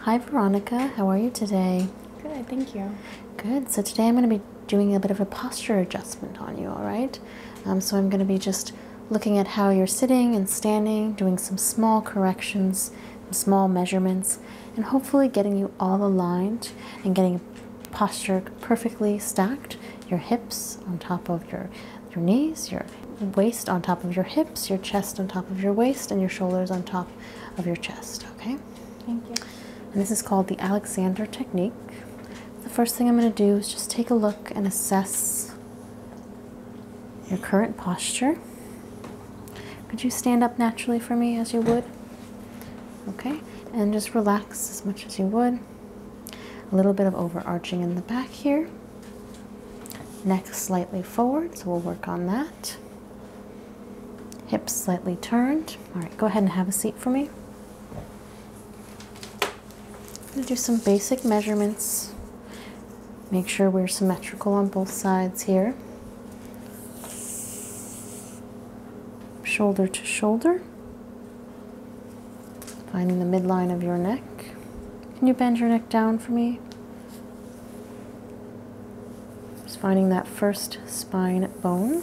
Hi Veronica, how are you today? Good, thank you. Good, so today I'm going to be doing a bit of a posture adjustment on you, all right? Um, so I'm going to be just looking at how you're sitting and standing, doing some small corrections, small measurements, and hopefully getting you all aligned and getting posture perfectly stacked, your hips on top of your your knees, your waist on top of your hips, your chest on top of your waist, and your shoulders on top of your chest. Okay? Thank you. And this is called the Alexander Technique. The first thing I'm going to do is just take a look and assess your current posture. Could you stand up naturally for me as you would? Okay, and just relax as much as you would. A little bit of overarching in the back here. Neck slightly forward, so we'll work on that. Hips slightly turned. All right, go ahead and have a seat for me. going to do some basic measurements. Make sure we're symmetrical on both sides here. Shoulder to shoulder. Finding the midline of your neck. Can you bend your neck down for me? Just finding that first spine bone.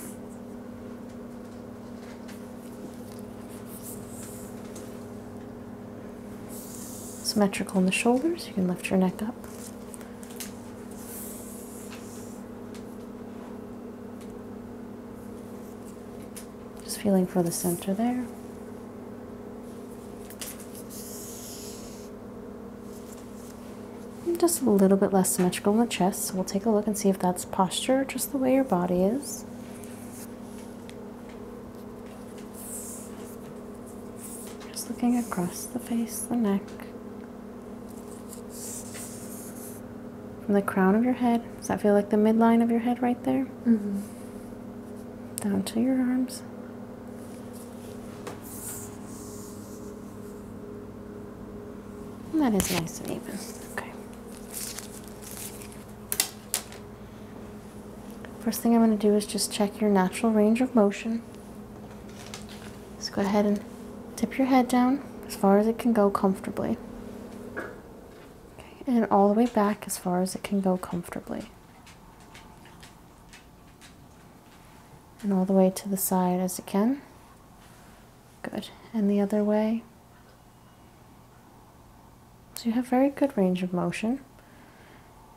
Symmetrical in the shoulders, you can lift your neck up. Just feeling for the center there. just a little bit less symmetrical in the chest, so we'll take a look and see if that's posture, just the way your body is. Just looking across the face, the neck. the crown of your head. Does that feel like the midline of your head right there? Mm -hmm down to your arms. that is nice and even. Okay. First thing I'm going to do is just check your natural range of motion. Just go ahead and tip your head down as far as it can go comfortably and all the way back as far as it can go comfortably. And all the way to the side as it can. Good. And the other way. So you have very good range of motion.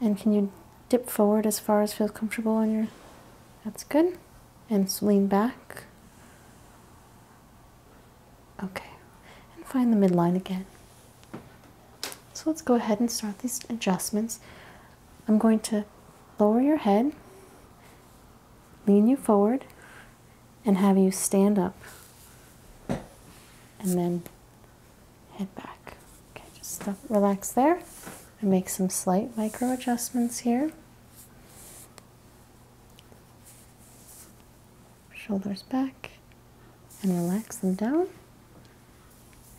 And can you dip forward as far as feels comfortable on your... That's good. And lean back. Okay, and find the midline again. So let's go ahead and start these adjustments. I'm going to lower your head, lean you forward, and have you stand up. And then head back. Okay, just relax there and make some slight micro adjustments here shoulders back, and relax them down.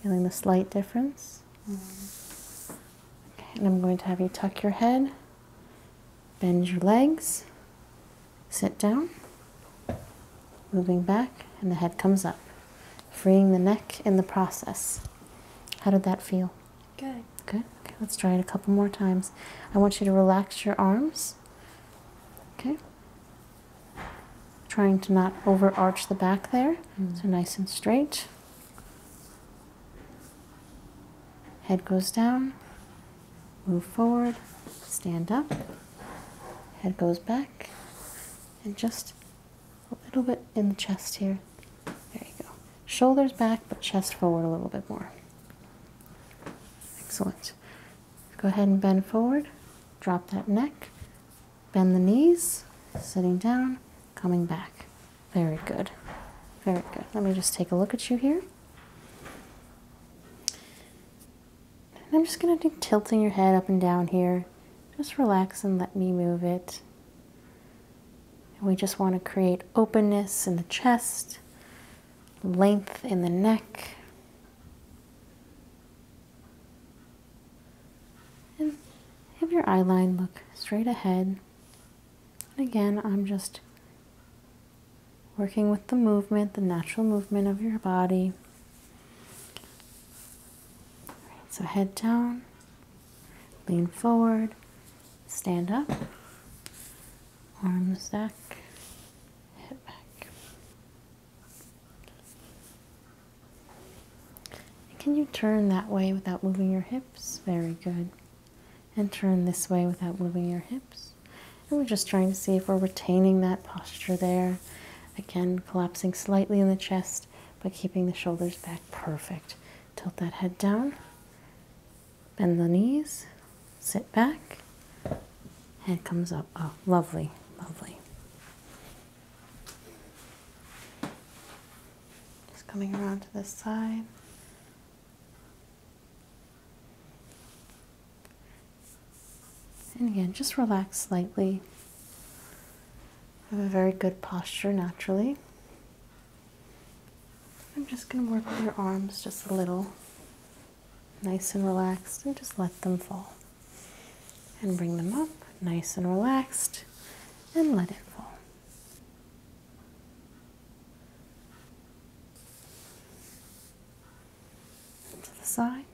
Feeling the slight difference. and I'm going to have you tuck your head, bend your legs, sit down, moving back, and the head comes up, freeing the neck in the process. How did that feel? Good. Good. Okay, let's try it a couple more times. I want you to relax your arms. Okay trying to not overarch the back there. Mm. So nice and straight. Head goes down, move forward, stand up, head goes back, and just a little bit in the chest here. There you go. Shoulders back, but chest forward a little bit more. Excellent. Go ahead and bend forward, drop that neck, bend the knees, sitting down, coming back. Very good. Very good. Let me just take a look at you here. I'm just going to be tilting your head up and down here. Just relax and let me move it. And we just want to create openness in the chest, length in the neck, have your eye line look straight ahead. And again, I'm just working with the movement, the natural movement of your body. so head down, lean forward, stand up, arms back, head back can you turn that way without moving your hips? Very good. And turn this way without moving your hips. And we're just trying to see if we're retaining that posture there. Again, collapsing slightly in the chest, but keeping the shoulders back perfect. Tilt that head down. Bend the knees sit back, head comes up. Oh, lovely, lovely. Just coming around to this side. And again, just relax slightly. Have a very good posture naturally. I'm just going to work with your arms just a little nice and relaxed, and just let them fall. And bring them up, nice and relaxed, and let it fall. To the side.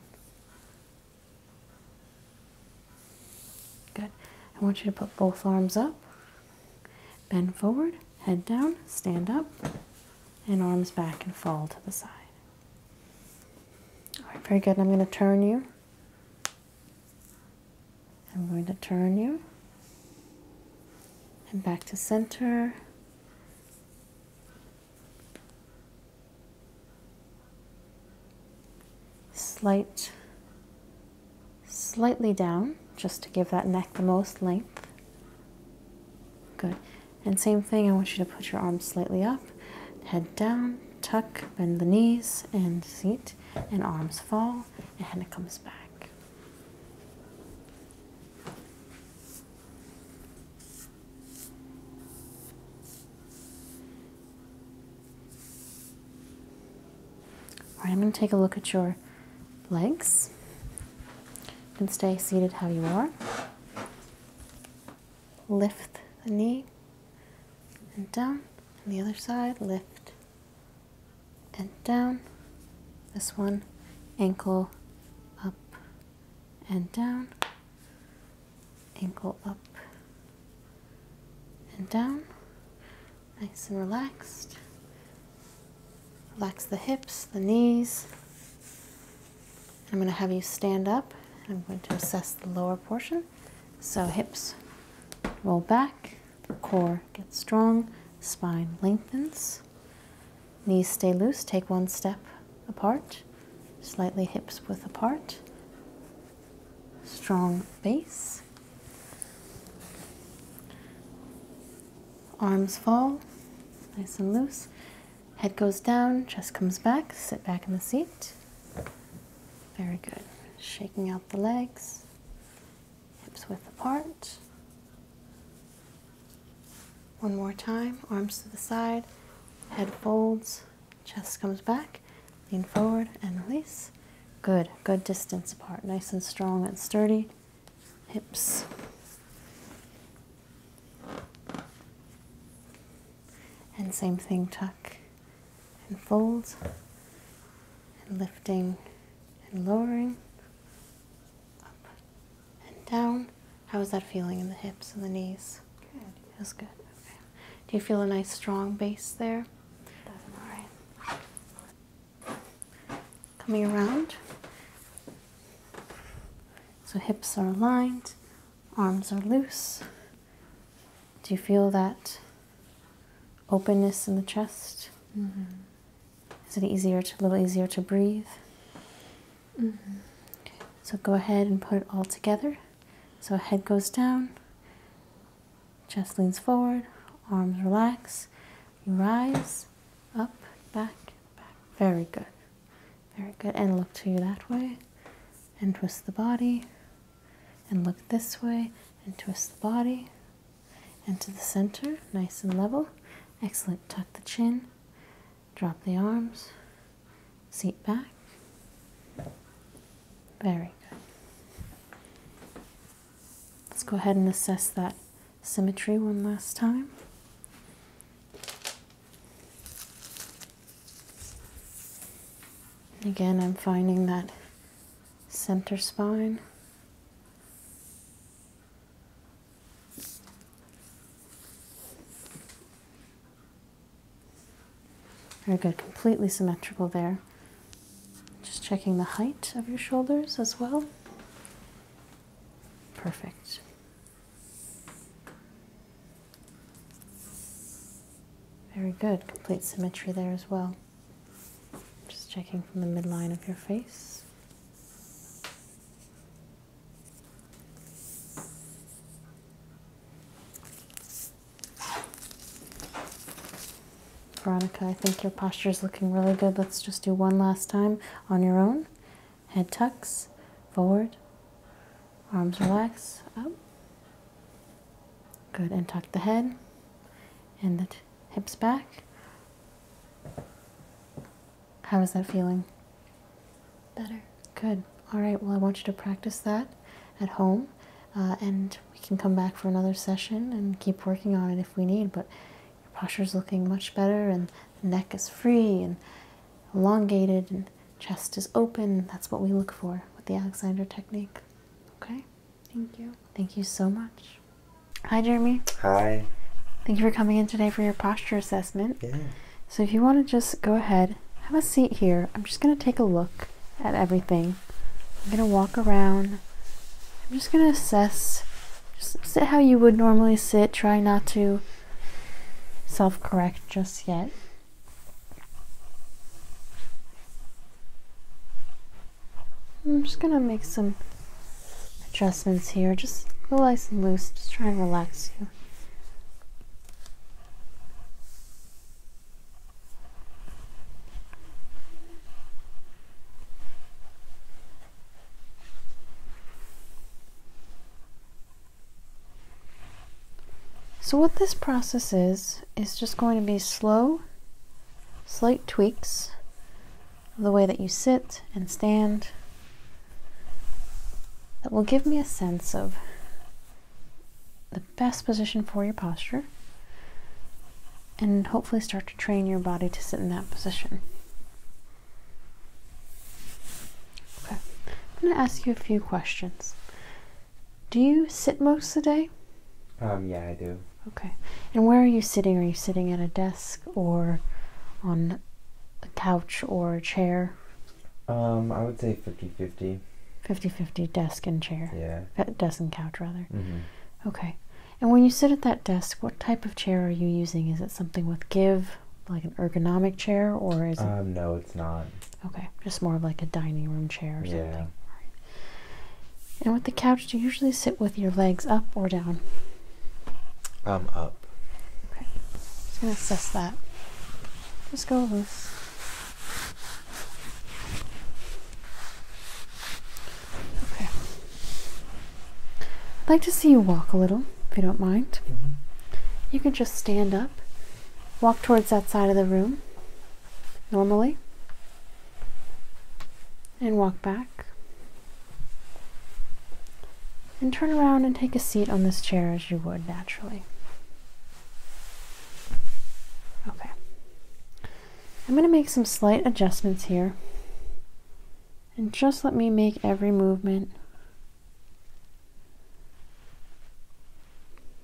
Good. I want you to put both arms up, bend forward, head down, stand up, and arms back and fall to the side. All right, very good. I'm going to turn you. I'm going to turn you. And back to center. Slight, slightly down, just to give that neck the most length. Good. And same thing, I want you to put your arms slightly up, head down, tuck, bend the knees, and seat, and arms fall, and head comes back. All right, I'm going to take a look at your legs. and stay seated how you are lift the knee and down and the other side lift and down this one ankle up and down ankle up and down nice and relaxed relax the hips the knees I'm going to have you stand up. I'm going to assess the lower portion. So hips roll back, core gets strong, spine lengthens, knees stay loose, take one step apart, slightly hips width apart, strong base. Arms fall, nice and loose. Head goes down, chest comes back, sit back in the seat. Very good. Shaking out the legs, hips width apart. One more time, arms to the side, head folds, chest comes back, lean forward and release. Good, good distance apart, nice and strong and sturdy. Hips and same thing, tuck and fold, and lifting and lowering, up and down. How is that feeling in the hips and the knees? Good. Feels good. Okay. Do you feel a nice strong base there? All right. Coming around. So hips are aligned, arms are loose. Do you feel that openness in the chest? Mm-hmm. Is it easier a little easier to breathe? Mm-hmm. So go ahead and put it all together. So head goes down, chest leans forward, arms relax, you rise, up, back, back. Very good. Very good. And look to you that way. And twist the body. And look this way. And twist the body. And to the center. Nice and level. Excellent. Tuck the chin. Drop the arms. Seat back. Very good. Let's go ahead and assess that symmetry one last time. Again, I'm finding that center spine. Very good, completely symmetrical there. Just checking the height of your shoulders as well. Perfect. Very good, complete symmetry there as well. Just checking from the midline of your face. Veronica, I think your posture is looking really good. Let's just do one last time on your own Head tucks forward, arms relax up. Good, and tuck the head and the hips back. How is that feeling? Better. Good. All right, well, I want you to practice that at home, uh, and we can come back for another session and keep working on it if we need. But your posture is looking much better, and neck is free and elongated and chest is open. That's what we look for with the Alexander technique. Okay? Thank you. Thank you so much. Hi, Jeremy. Hi. Thank you for coming in today for your posture assessment. Yeah. So, if you want to just go ahead, have a seat here. I'm just going to take a look at everything. I'm going to walk around. I'm just going to assess. Just sit how you would normally sit. Try not to self correct just yet. I'm just gonna make some adjustments here, just go nice and loose, just try and relax you. So what this process is, is just going to be slow, slight tweaks of the way that you sit and stand that will give me a sense of the best position for your posture and hopefully start to train your body to sit in that position. Okay, I'm gonna ask you a few questions. Do you sit most of the day? Um, yeah, I do. Okay, and where are you sitting? Are you sitting at a desk or on a couch or a chair? Um, I would say 50 50. 50 50 desk and chair. Yeah. Desk and couch, rather. Mm -hmm. Okay. And when you sit at that desk, what type of chair are you using? Is it something with give like an ergonomic chair, or is um, it? No, it's not. Okay, just more of like a dining room chair or something. Yeah. And with the couch, do you usually sit with your legs up or down? Um, up. Okay, just gonna assess that. Just go over. Okay. I'd like to see you walk a little, if you don't mind. Mm-hmm. You can just stand up, walk towards that side of the room normally, and walk back. And turn around and take a seat on this chair as you would naturally. Okay. I'm going to make some slight adjustments here and just let me make every movement.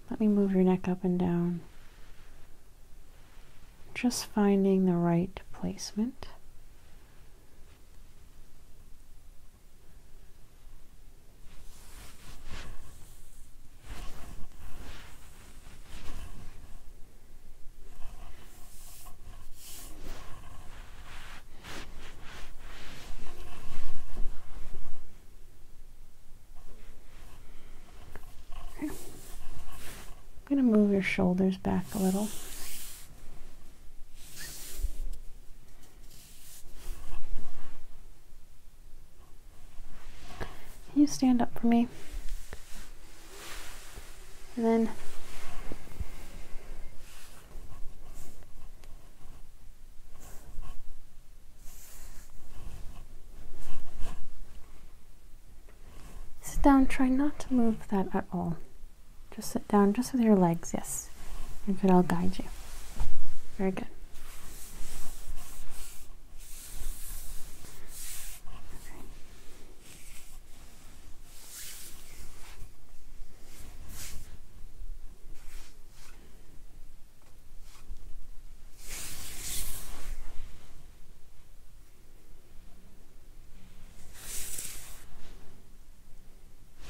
Let me move your neck up and down. Just finding the right placement. I'm going to move your shoulders back a little. Can you stand up for me? And then Sit down, try not to move that at all. Just sit down, just with your legs, yes. And could all guide you. Very good.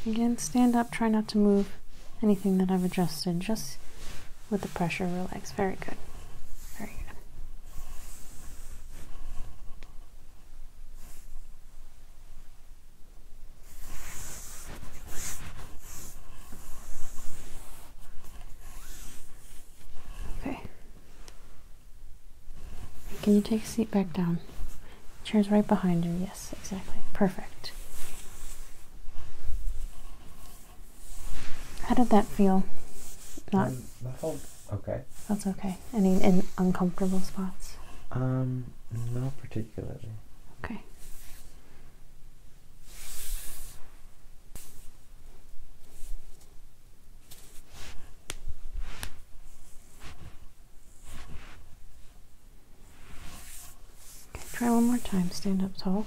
Again, stand up, try not to move anything that I've adjusted, just with the pressure, relax. Very good. Very good. Okay. Can you take a seat back down? Chair's right behind you. Yes, exactly. Perfect. How did that feel? Not. Um, okay. That's okay. Any in uncomfortable spots? Um, not particular. Okay. Okay, try one more time. Stand up tall.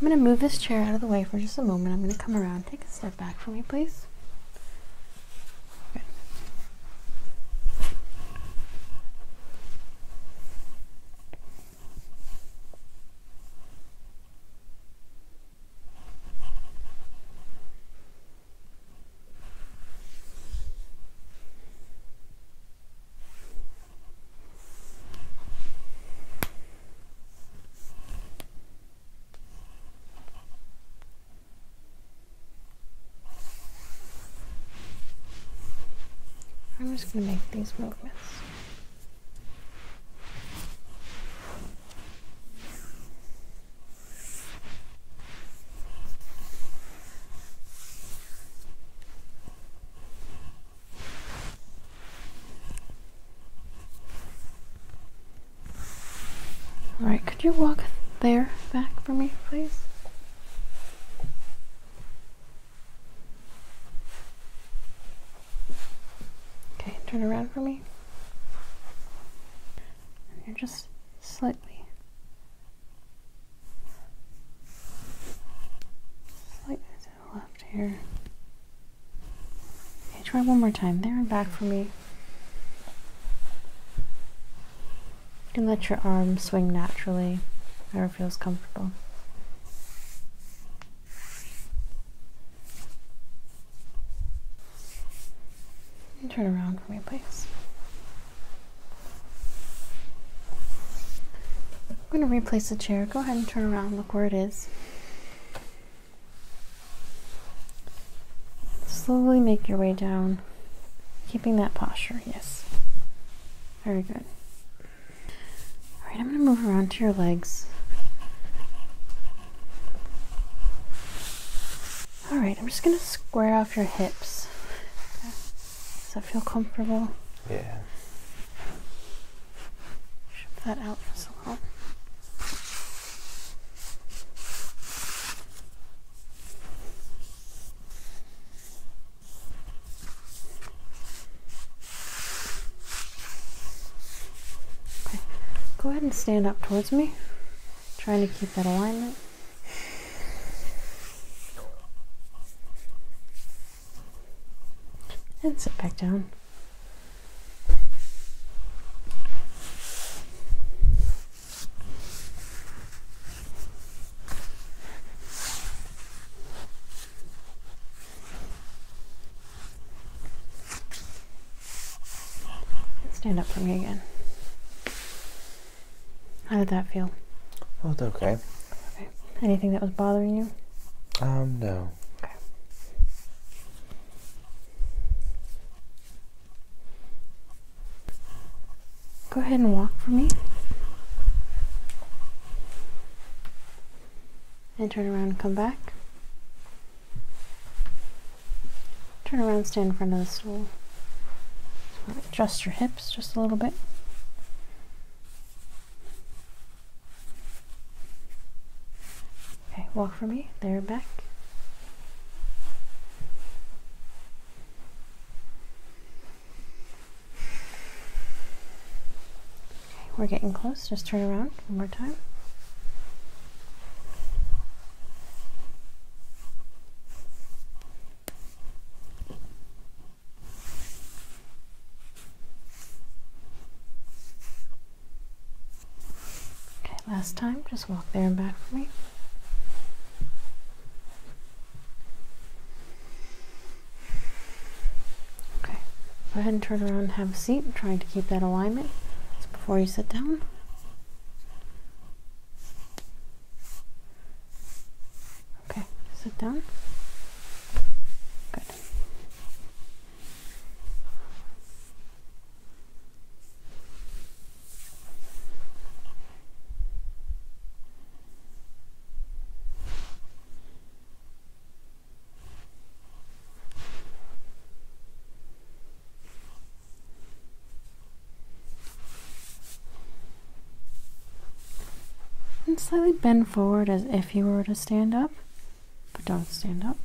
I'm going to move this chair out of the way for just a moment. I'm going to come around, take a step scarf back for me, please? I'm just going to make these movements. All right, could you walk there back for me, please? Okay, turn around for me. you're just slightly, slightly to the left here. Okay, try one more time. There and back for me. And let your arm swing naturally, wherever feels comfortable. turn around for me, please. I'm going to replace the chair. Go ahead and turn around, look where it is. Slowly make your way down, keeping that posture, yes. Very good. All right, I'm going to move around to your legs. All right, I'm just going to square off your hips. Does that feel comfortable? Yeah. Shift that out just a little go ahead and stand up towards me, trying to keep that alignment. And sit back down. Stand up for me again. How did that feel? Felt okay. okay. Anything that was bothering you? Um, no. Okay. Go ahead and walk for me. And turn around and come back. Turn around, stand in front of the stool. Adjust your hips just a little bit. Okay, walk for me. There, back. Okay, we're getting close. Just turn around one more time. Okay, last time, just walk there and back for me. Okay, go ahead and turn around and have a seat, trying to keep that alignment before you sit down. Okay, sit down. Good. And slightly bend forward as if you were to stand up, but don't stand up.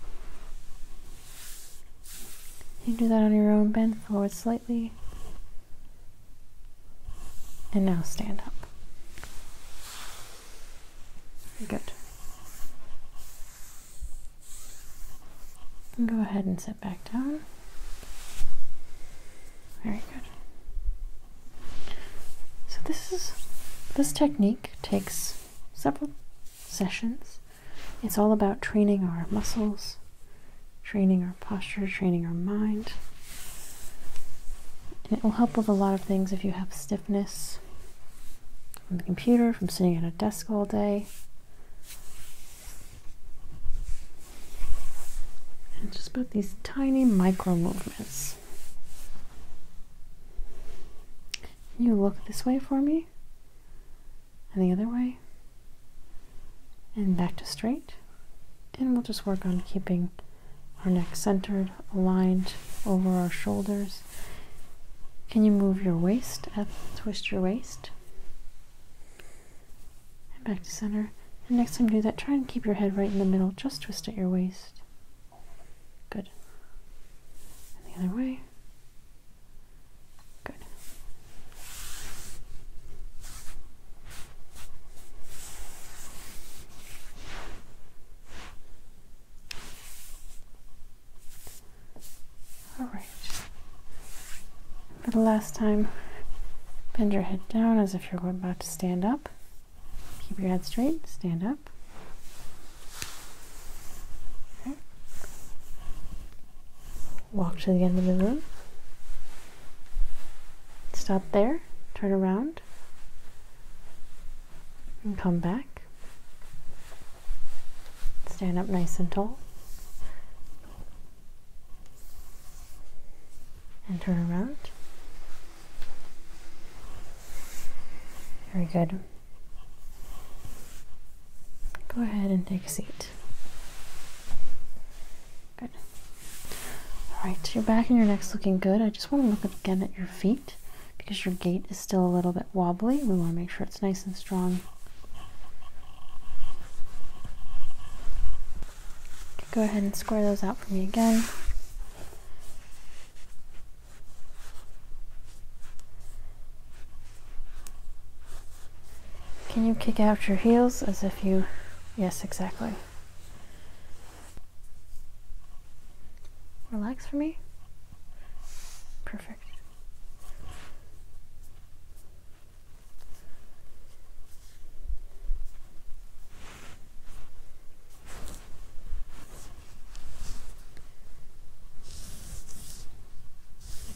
You do that on your own. Bend forward slightly. And now stand up. Good. go ahead and sit back down. Very good. So this is this technique takes several sessions. It's all about training our muscles, training our posture, training our mind. And it will help with a lot of things if you have stiffness from the computer, from sitting at a desk all day. And just about these tiny micro movements. You look this way for me and the other way and back to straight and we'll just work on keeping our neck centered aligned over our shoulders can you move your waist up twist your waist and back to center and next time you do that try and keep your head right in the middle just twist at your waist good and the other way Good. All right. For the last time, bend your head down as if you're about to stand up. Keep your head straight, stand up walk to the end of the room, stop there, turn around, and come back. Stand up nice and tall. And turn around. Very good. Go ahead and take a seat. Good. Alright, your back and your neck's looking good. I just want to look again at your feet because your gait is still a little bit wobbly. We want to make sure it's nice and strong. Go ahead and square those out for me again. Can you kick out your heels as if you... Yes, exactly. Relax for me. Perfect.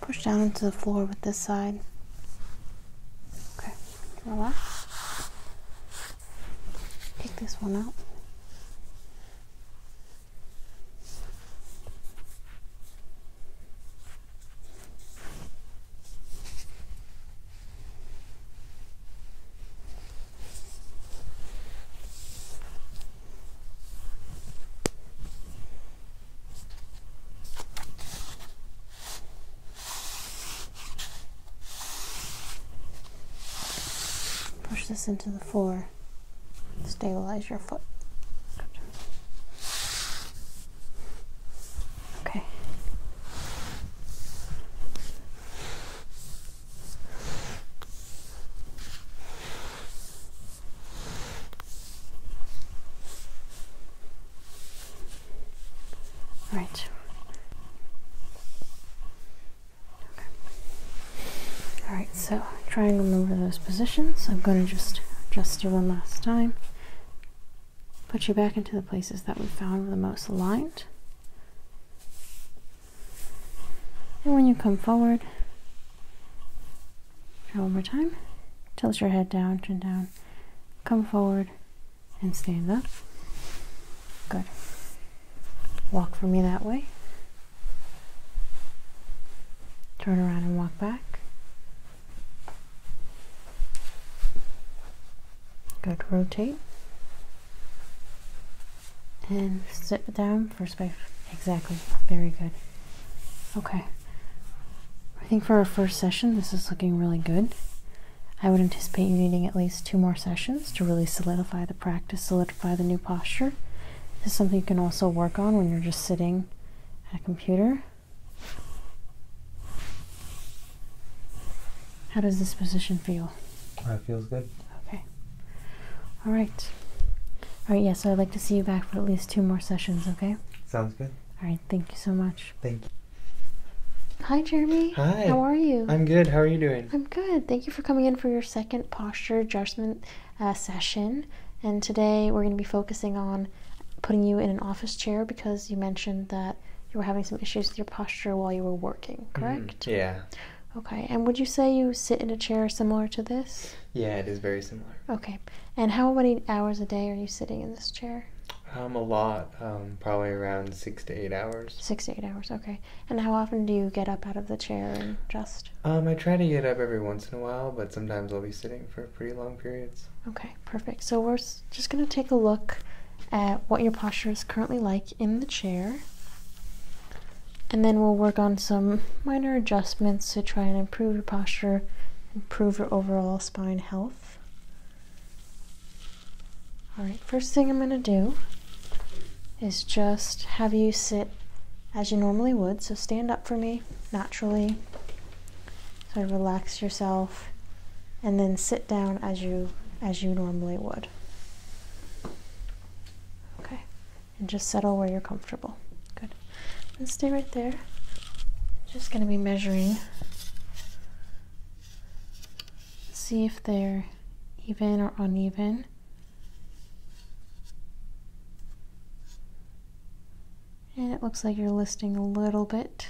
Push down into the floor with this side. Okay, relax. Take this one up. Push this into the floor. Stabilize your foot. Okay. All right. Okay. All right, so trying to remember those positions. I'm going to just adjust you one last time. Put you back into the places that we found were the most aligned. And when you come forward, try one more time. Tilt your head down, chin down. Come forward and stand up. Good. Walk for me that way. Turn around and walk back. Good, rotate. And sit down for a space. Exactly, very good. Okay. I think for our first session, this is looking really good. I would anticipate you needing at least two more sessions to really solidify the practice, solidify the new posture. This is something you can also work on when you're just sitting at a computer how does this position feel? That feels good. Okay. All right. All right, Yes. I'd like to see you back for at least two more sessions, okay? Sounds good. All right, thank you so much. Thank you. Hi, Jeremy. Hi. How are you? I'm good. How are you doing? I'm good. Thank you for coming in for your second posture adjustment uh, session. And today we're going to be focusing on putting you in an office chair because you mentioned that you were having some issues with your posture while you were working, mm-hmm. correct? yeah. Okay, and would you say you sit in a chair similar to this? Yeah, it is very similar. Okay, and how many hours a day are you sitting in this chair? Um, a lot, um, probably around six to eight hours. Six to eight hours, okay. And how often do you get up out of the chair and just? Um, I try to get up every once in a while, but sometimes I'll be sitting for pretty long periods. Okay, perfect. So we're just going to take a look at what your posture is currently like in the chair. And then we'll work on some minor adjustments to try and improve your posture, improve your overall spine health. All right, first thing I'm going to do is just have you sit as you normally would. So stand up for me naturally. So relax yourself and then sit down as you as you normally would. Okay. And just settle where you're comfortable. Good. And stay right there. Just going to be measuring see if they're even or uneven. And it looks like you're listing a little bit.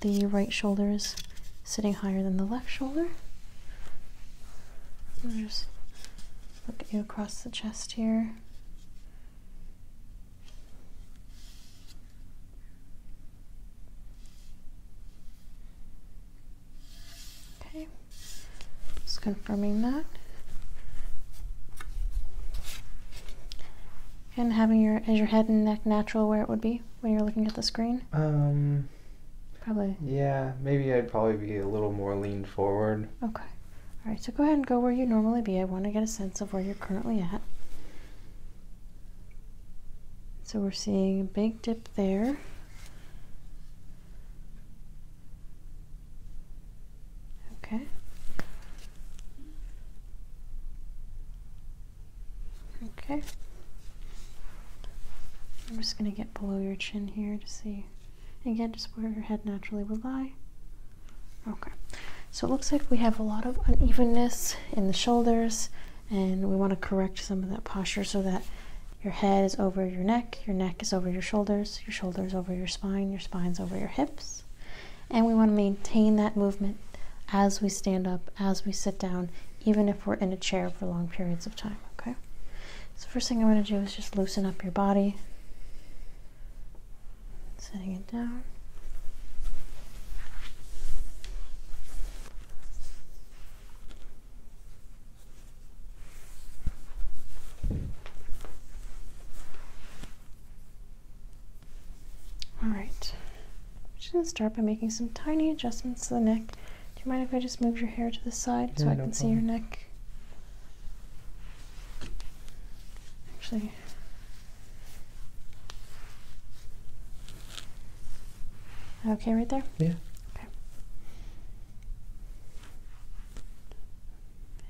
The right shoulder is sitting higher than the left shoulder. I'll just look at you across the chest here. Okay, just confirming that. And having your is your head and neck natural where it would be when you're looking at the screen? Um probably. Yeah, maybe I'd probably be a little more leaned forward. Okay. All right, so go ahead and go where you normally be. I want to get a sense of where you're currently at. So we're seeing a big dip there. Okay. Okay. I'm just going to get below your chin here to see. Again, just where your head naturally would lie. Okay. So it looks like we have a lot of unevenness in the shoulders, and we want to correct some of that posture so that your head is over your neck, your neck is over your shoulders, your shoulders over your spine, your spine's over your hips. And we want to maintain that movement as we stand up, as we sit down, even if we're in a chair for long periods of time, okay? So, first thing I am going to do is just loosen up your body, setting it down. All right. I'm just going to start by making some tiny adjustments to the neck. Do you mind if I just move your hair to the side so I can see your neck? Actually, okay, right there. Yeah. Okay.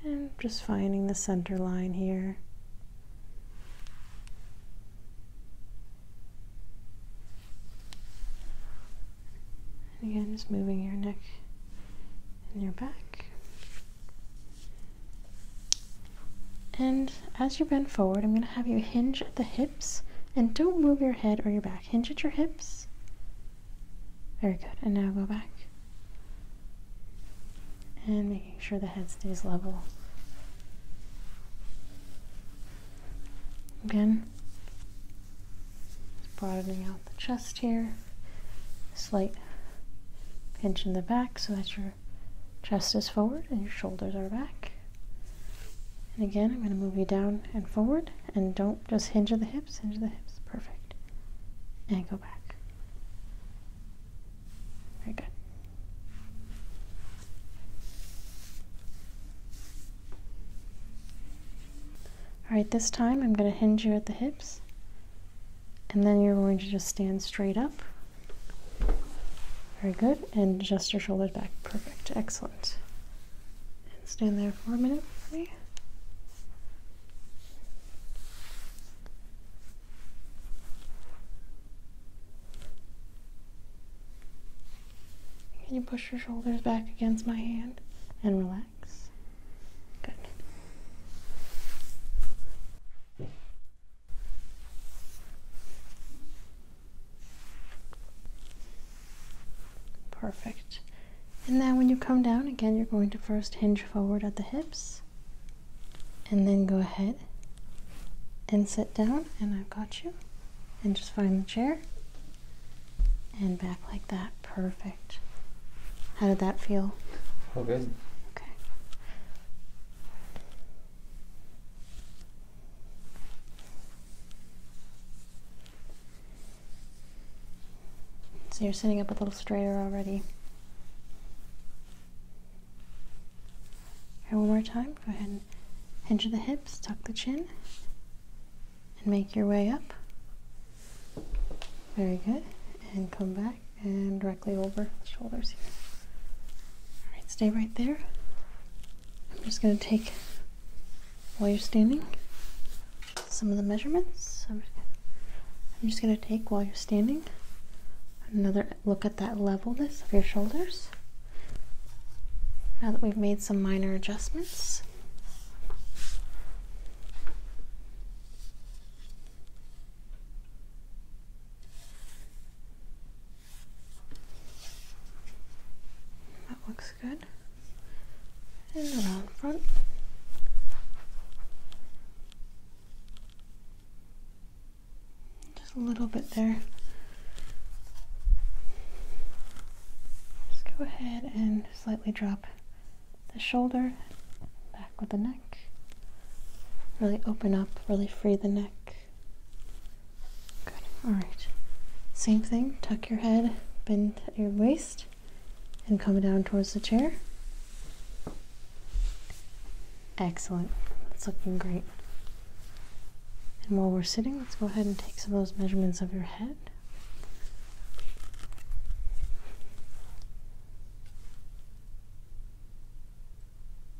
And just finding the center line here. And again, just moving your neck and your back. And as you bend forward, I'm going to have you hinge at the hips and don't move your head or your back. Hinge at your hips. Very good. And now go back and making sure the head stays level. Again, broadening out the chest here, slight pinch in the back so that your chest is forward and your shoulders are back. And again, I'm going to move you down and forward, and don't just hinge of the hips, hinge the hips, perfect. And back. Very good. Alright, this time I'm going to hinge you at the hips. And then you're going to just stand straight up. Very good. And just your shoulders back. Perfect. Excellent. And stand there for a minute can you push your shoulders back against my hand and relax? Good. Perfect. And now when you come down again, you're going to first hinge forward at the hips and then go ahead and sit down, and I've got you. And just find the chair and back like that. Perfect. How did that feel? Oh, good. Okay. So you're sitting up a little straighter already. Alright, one more time. Go ahead and hinge the hips, tuck the chin, and make your way up. Very good. And come back and directly over the shoulders here. Alright, stay right there. I'm just going to take, while you're standing, some of the measurements. I'm just going to take while you're standing. Another look at that levelness of your shoulders. Now that we've made some minor adjustments, that looks good. And around front. Just a little bit there. Just go ahead and slightly drop the shoulder, back with the neck. Really open up, really free the neck. Good. All right. Same thing, tuck your head, bend your waist, and come down towards the chair. Excellent. That's looking great. And while we're sitting, let's go ahead and take some of those measurements of your head.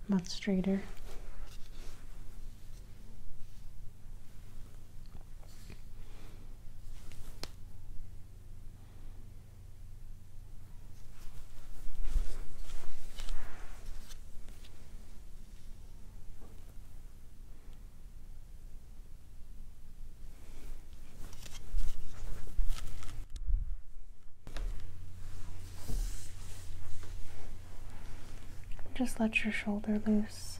Much straighter. Just let your shoulder loose.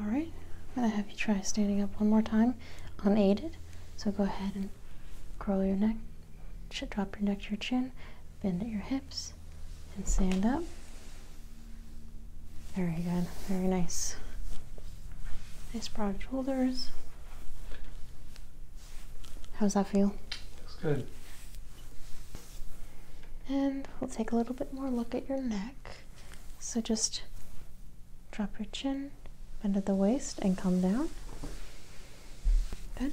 All right, I'm gonna have you try standing up one more time, unaided. So go ahead and curl your neck, drop your neck to your chin, bend at your hips, and stand up. Very good, very nice. Nice broad shoulders. How's that feel? Looks good. And um, we'll take a little bit more look at your neck. So just drop your chin, bend at the waist, and come down. Good.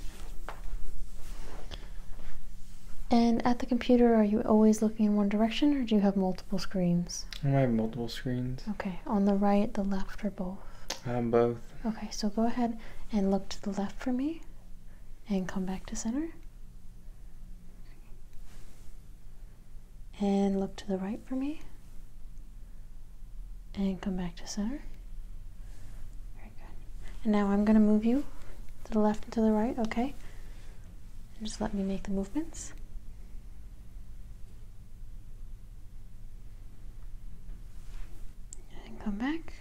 And at the computer, are you always looking in one direction or do you have multiple screens? I have multiple screens. Okay, on the right, the left, or both? Um, both. Okay, so go ahead and look to the left for me and come back to center. And look to the right for me and come back to center. Very good. And now I'm going to move you to the left and to the right, okay? just let me make the movements. And come back.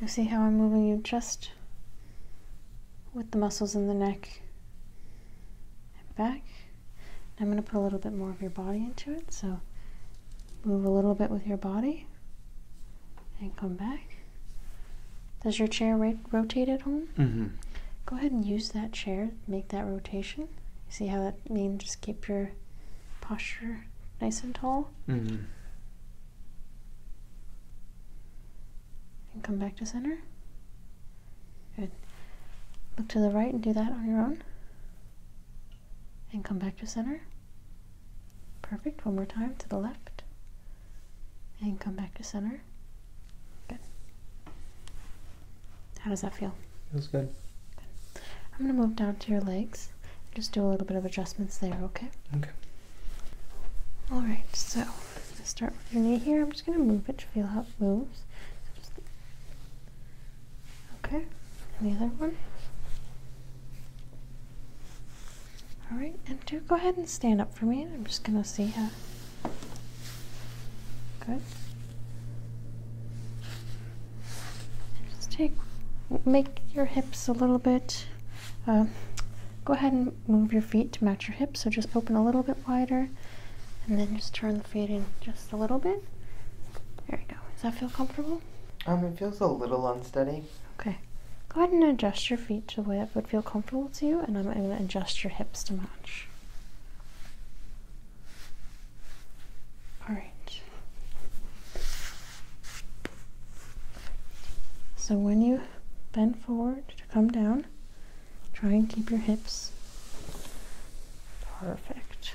You see how I'm moving you just with the muscles in the neck and back. I'm going to put a little bit more of your body into it, so move a little bit with your body and come back. Does your chair rotate at home? Mm-hmm. Go ahead and use that chair, make that rotation. You See how that means keep your posture nice and tall. Mm-hmm. And come back to center. Good. Look to the right and do that on your own. And come back to center. Perfect. One more time to the left. And come back to center. Good. How does that feel? Feels good. I'm gonna move down to your legs. Just do a little bit of adjustments there, okay? Okay. All right. So start with your knee here. I'm just gonna move it feel how it moves. Okay. the other one. All right. And do go ahead and stand up for me. I'm just gonna see how. Good. Just take, make your hips a little bit. Uh, go ahead and move your feet to match your hips. So just open a little bit wider, and then just turn the feet in just a little bit. There you go. Does that feel comfortable? Um, it feels a little unsteady. Okay. Go ahead and adjust your feet to the way it would feel comfortable to you, and I'm going to adjust your hips to match. All right. So when you bend forward to come down, try and keep your hips perfect.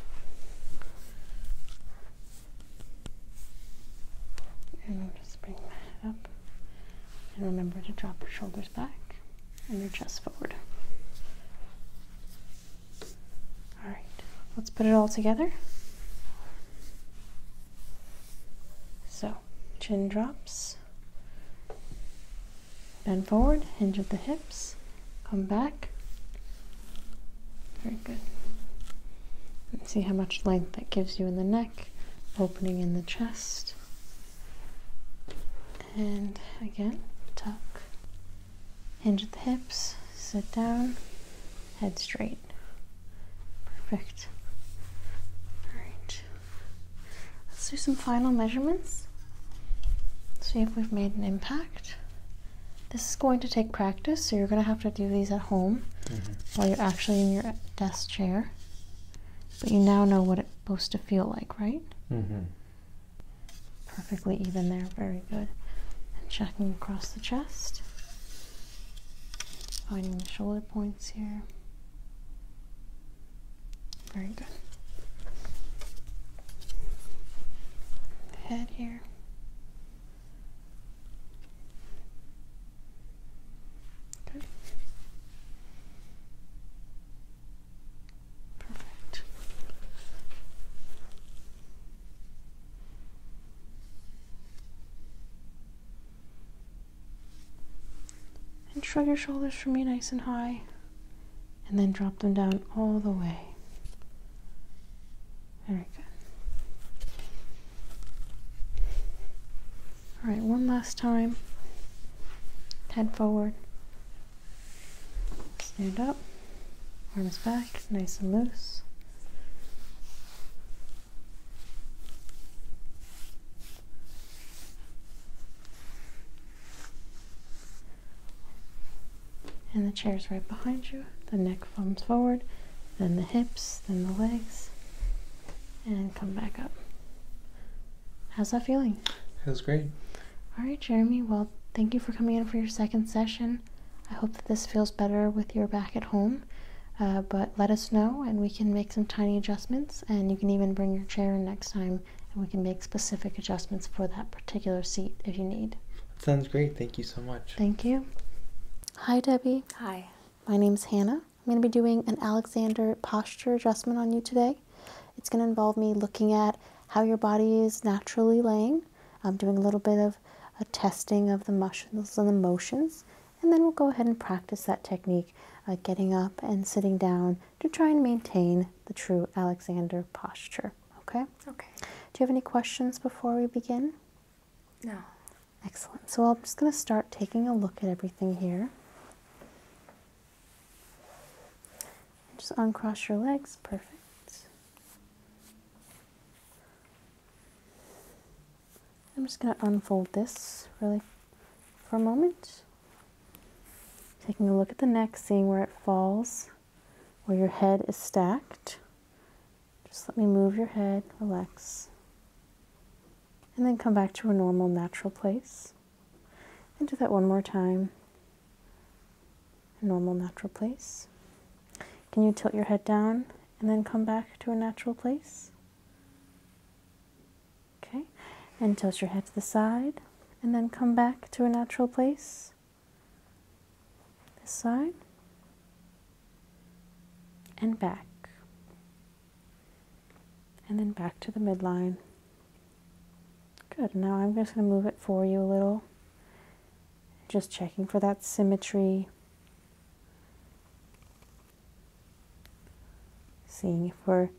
And just bring my head up. And remember to drop your shoulders back and your chest forward. All right, let's put it all together. So, chin drops, bend forward, hinge at the hips, come back. Very good. see how much length that gives you in the neck, opening in the chest. And again, tuck, hinge the hips, sit down, head straight. Perfect. All right. Let's do some final measurements. See if we've made an impact. This is going to take practice, so you're going to have to do these at home mm-hmm. while you're actually in your desk chair. But you now know what it's supposed to feel like, right? Mm-hmm perfectly even there. Very good. And checking across the chest, finding the shoulder points here. Very good. head here. Good. Perfect. And shrug your shoulders for me nice and high, and then drop them down all the way. Very good. All right, one last time. Head forward, Stand up, arms back, nice and loose. And the chair is right behind you. The neck comes forward, then the hips, then the legs, and come back up. How's that feeling? Feels great. All right, Jeremy. Well, thank you for coming in for your second session. I hope that this feels better with your back at home. Uh, but let us know, and we can make some tiny adjustments. And you can even bring your chair in next time, and we can make specific adjustments for that particular seat if you need. Sounds great. Thank you so much. Thank you. Hi, Debbie. Hi. My name's Hannah. I'm going to be doing an Alexander posture adjustment on you today. It's going to involve me looking at how your body is naturally laying. I'm um, doing a little bit of a testing of the muscles and the motions, and then we'll go ahead and practice that technique, uh, getting up and sitting down to try and maintain the true Alexander posture. Okay? Okay. Do you have any questions before we begin? No. Excellent. So I'm just going to start taking a look at everything here. Just uncross your legs. Perfect. I'm just going to unfold this really for a moment. Taking a look at the neck, seeing where it falls, where your head is stacked. Just let me move your head, relax. And then come back to a normal, natural place. And do that one more time a normal natural place. Can you tilt your head down and then come back to a natural place? Okay, and tilt your head to the side and then come back to a natural place. This side and back, and then back to the midline. Good, now I'm just going to move it for you a little. Just checking for that symmetry. Seeing if we're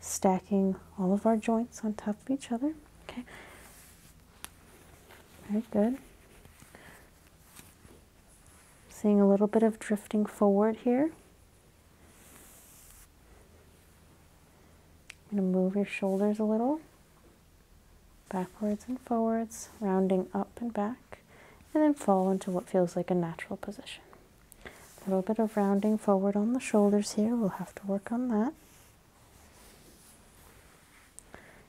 stacking all of our joints on top of each other. Okay. Very good. Seeing a little bit of drifting forward here. I'm going to move your shoulders a little, backwards and forwards, rounding up and back, and then fall into what feels like a natural position. A little bit of rounding forward on the shoulders here, we'll have to work on that.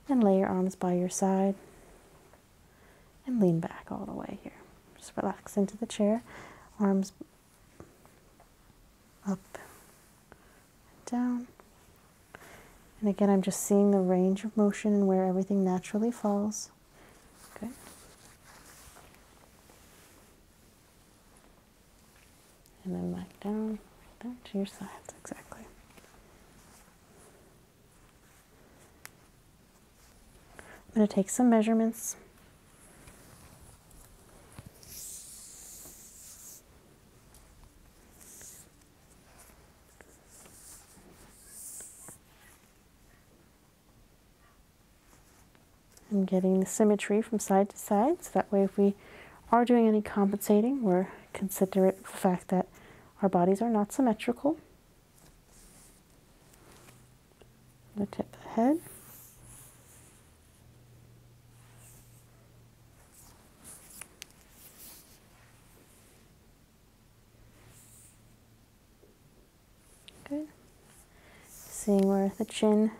And lay your arms by your side and lean back all the way here. Just relax into the chair, arms up and down. And again, I'm just seeing the range of motion and where everything naturally falls. Okay. And then back down, back to your sides, exactly. I'm going to take some measurements I'm getting the symmetry from side to side, so that way if we are doing any compensating, we're considering the fact that our bodies are not symmetrical. The tip of the head. Good. Seeing where the chin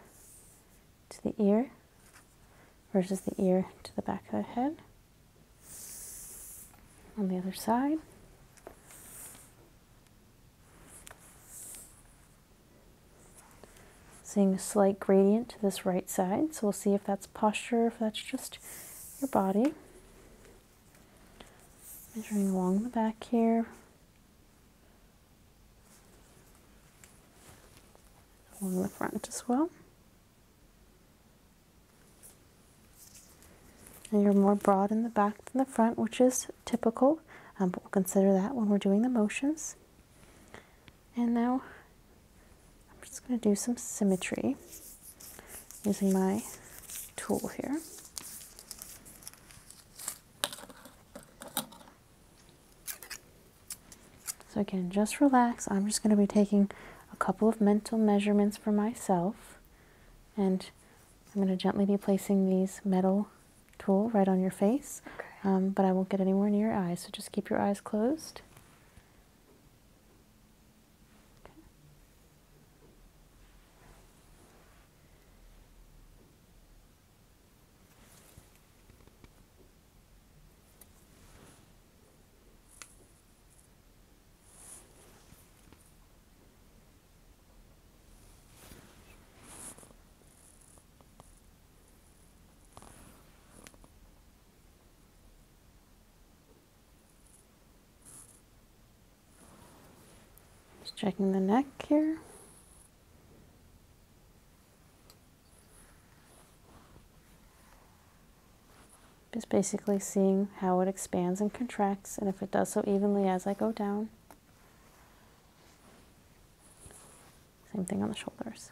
to the ear versus the ear to the back of the head. On the other side. Seeing a slight gradient to this right side. So we'll see if that's posture, if that's just your body. Measuring along the back here. Along the front as well. and you're more broad in the back than the front, which is typical, um, but we'll consider that when we're doing the motions. And now I'm just going to do some symmetry using my tool here. So again, just relax. I'm just going to be taking a couple of mental measurements for myself. And I'm going to gently be placing these metal tool right on your face, um, but I won't get anywhere near your eyes, so just keep your eyes closed. Just checking the neck here. Just basically seeing how it expands and contracts and if it does so evenly as I go down. Same thing on the shoulders.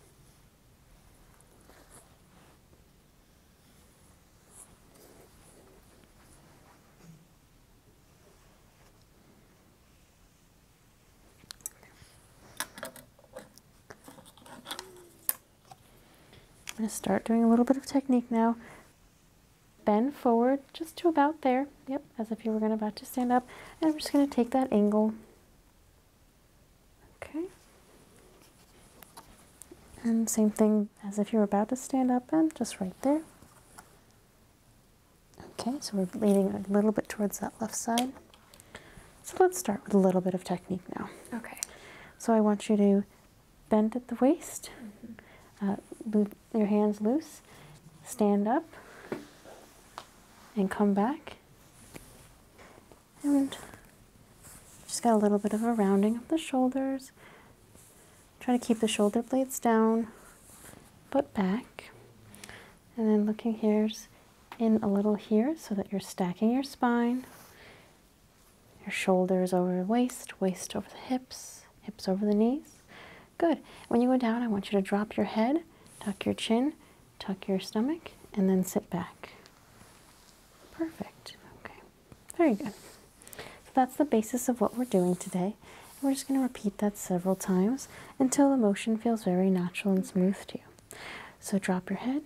I'm going to start doing a little bit of technique now. Bend forward just to about there. Yep, as if you were going to about to stand up. And I'm just going to take that angle Okay. And same thing as if you're about to stand up and just right there. Okay, so we're leaning a little bit towards that left side. So let's start with a little bit of technique now. Okay. So I want you to bend at the waist, mm your hands loose, stand up, and come back and just got a little bit of a rounding of the shoulders. Try to keep the shoulder blades down, but back. And then looking here's in a little here so that you're stacking your spine. Your shoulders over waist, waist over the hips, hips over the knees. Good. When you go down, I want you to drop your head, tuck your chin, tuck your stomach and then sit back. Perfect. Okay, very good. So that's the basis of what we're doing today. we're just going to repeat that several times until the motion feels very natural and smooth to you. So drop your head,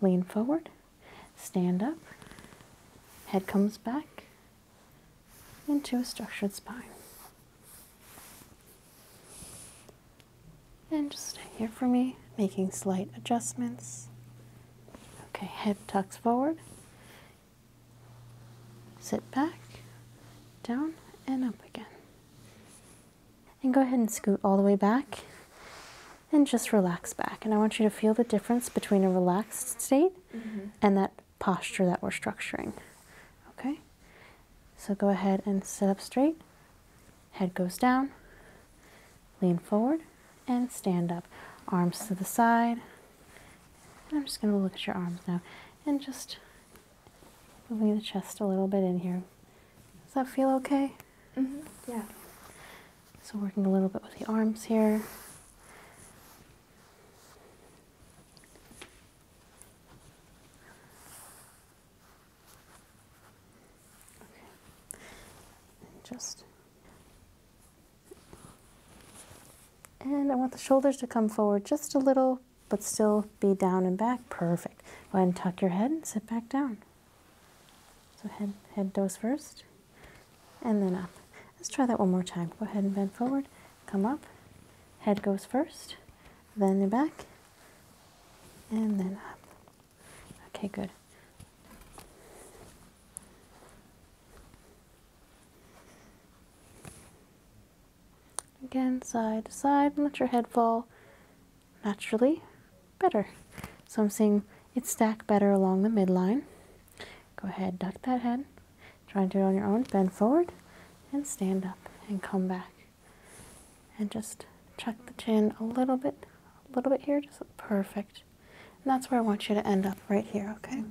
lean forward, stand up, head comes back into a structured spine. And just stay here for me, making slight adjustments. Okay, head tucks forward. Sit back, down, and up again. And go ahead and scoot all the way back and just relax back. And I want you to feel the difference between a relaxed state mm-hmm. and that posture that we're structuring. Okay? So go ahead and sit up straight, head goes down, lean forward, and stand up. Arms to the side. I'm just going to look at your arms now and just moving the chest a little bit in here. Does that feel okay? Mm -hmm. Yeah. So working a little bit with the arms here. And just. And I want the shoulders to come forward just a little, but still be down and back. Perfect. Go ahead and tuck your head and sit back down. So head, head does first, and then up. Let's try that one more time. Go ahead and bend forward, come up, head goes first, then you're back, and then up. Okay, good. Again, side to side, and let your head fall naturally better. So I'm seeing it stack better along the midline. Go ahead, duck that head. Try and do it on your own. Bend forward and stand up and come back and just tuck the chin a little bit, a little bit here, just perfect. And that's where I want you to end up, right here, okay.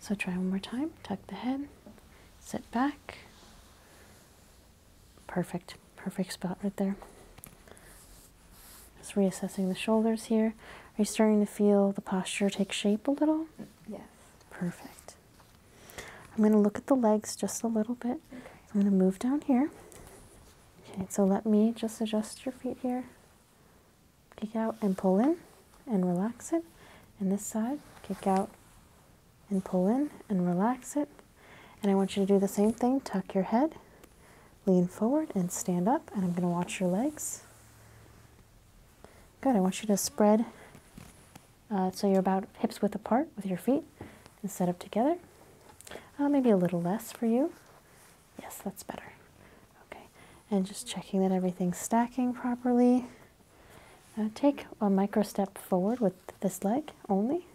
So try one more time. Tuck the head, sit back. Perfect, perfect spot right there. Just reassessing the shoulders here. Are you starting to feel the posture take shape a little? Yes. Perfect. I'm going to look at the legs just a little bit. I'm going to move down here. Okay, so let me just adjust your feet here. Kick out and pull in and relax it. And this side, kick out and pull in and relax it. And I want you to do the same thing. Tuck your head, lean forward and stand up. And I'm going to watch your legs. Good. I want you to spread uh, so you're about hips width apart with your feet and set up together. Uh, maybe a little less for you. Yes, that's better. Okay, and just checking that everything's stacking properly. Uh, take a micro step forward with this leg only.